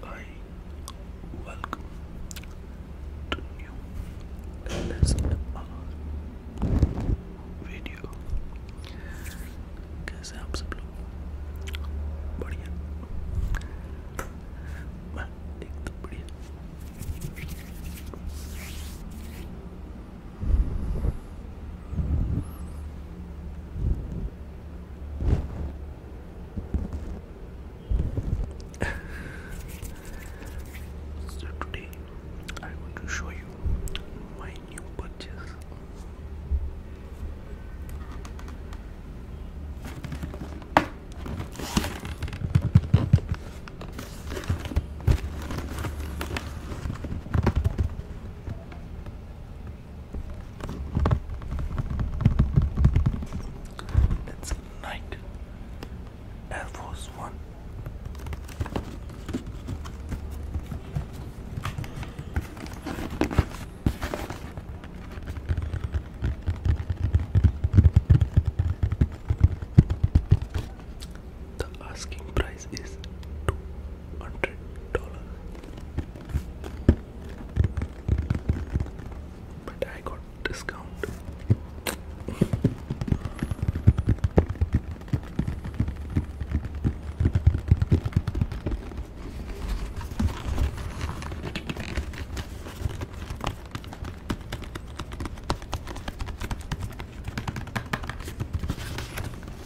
Hi, welcome to new video कैसे आप सब लोग बढ़िया मैं एकदम बढ़िया so today i want to show you my new purchase. It's night. Air Force One. The asking price is two hundred dollar. But I got discount.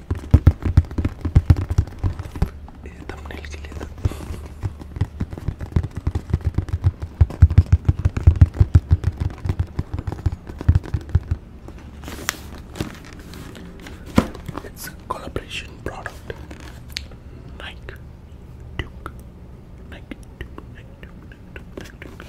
Eh, it's a collaboration product. Nike Duke. Nike Duke. Nike Duke. Nike Duke.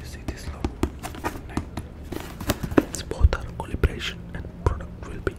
You see this logo? It's both our collaboration and product will be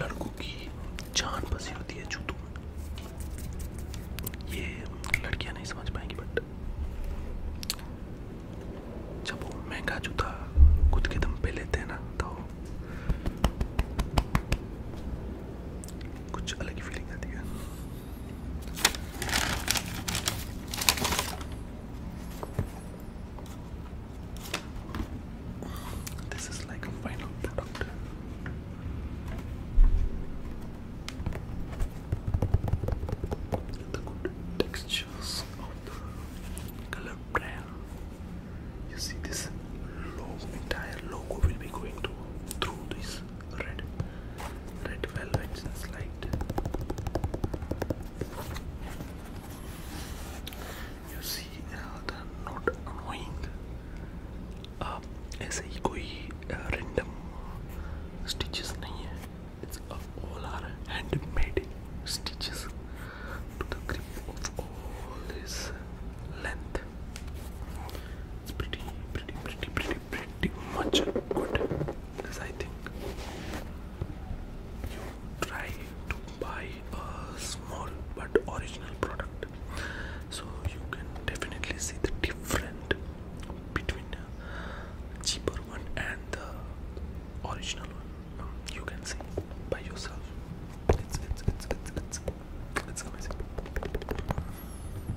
लड़कों की जान बसी होती है जूतों में ये लड़कियां नहीं समझ पाएंगी बट जब वो महंगा जूता खुद के दम पे लेते हैं ना तो कुछ अलग ही फीलिंग आती है This is like a final product. The good textures of the color brand. You see this logo, entire logo will be going through this red red velvet since light you see uh, the not annoying uh, ऐसे ही कोई random stitches नहीं it's all our handmade stitches to the grip of all this length it's pretty pretty pretty pretty pretty much good because I think you try to buy a small but original product so you can definitely see the difference between a cheaper one and the original one you can see by yourself it's it's it's it's, it's amazing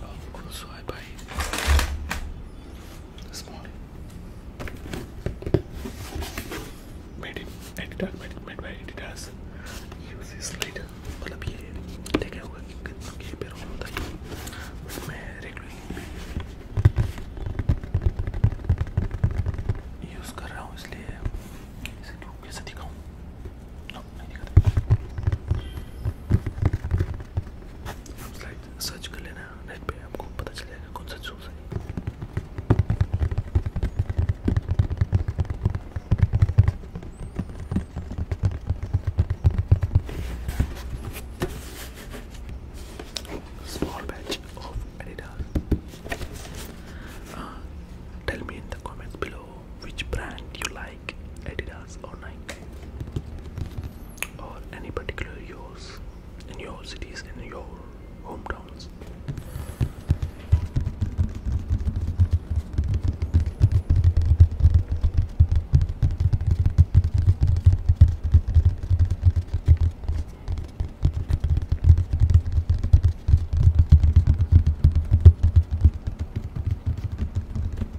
Oh, also I buy small made it editor made it made by editors use this later मतलब ये देखा होगा कि कितना के पे role होता है बट मैं रेगुलरली यूज़ कर रहा हूँ इसलिए इसे लोग कैसे दिखाऊँ no, आप स्लाइड सर्च कर लेना नेट पे आपको पता चलेगा कौन सा चूज है Small batch of Adidas. Uh, tell me in the comments below which brand you like Adidas or Nike or any particular yours in your cities in your hometowns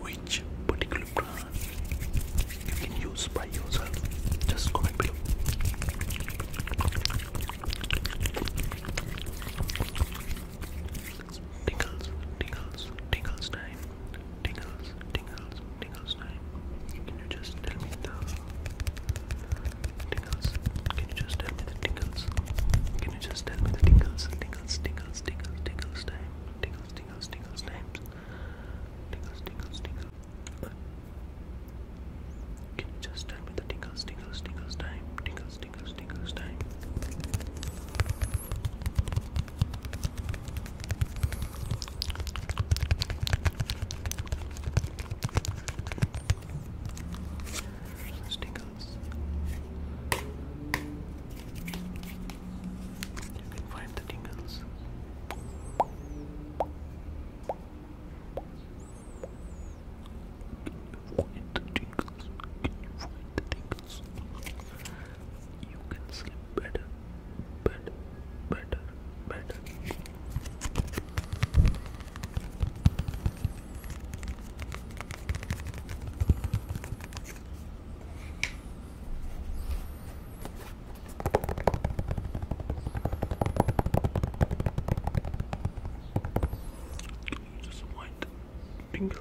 Which particular you can use by yourself? Just comment below. Tingles, tingles, tingles time. Tingles, tingles, tingles name? Can you just tell me the tingles? Can you just tell me the tingles? Can you just tell me the tingles? Tingles, tingles, tingles, tingles time. Tingles, tingles, tingles names. Tingles, tingles, tingles. can you just tell me the tingles, tingles, tingles time? Tingles, tingles, tingles time. Stickles. You can find the tingles. Find the tingles. Find the tingles. You can sleep better, better, better, better. Just white tingles,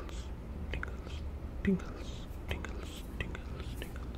tingles, tingles, tingles, tingles, tingles.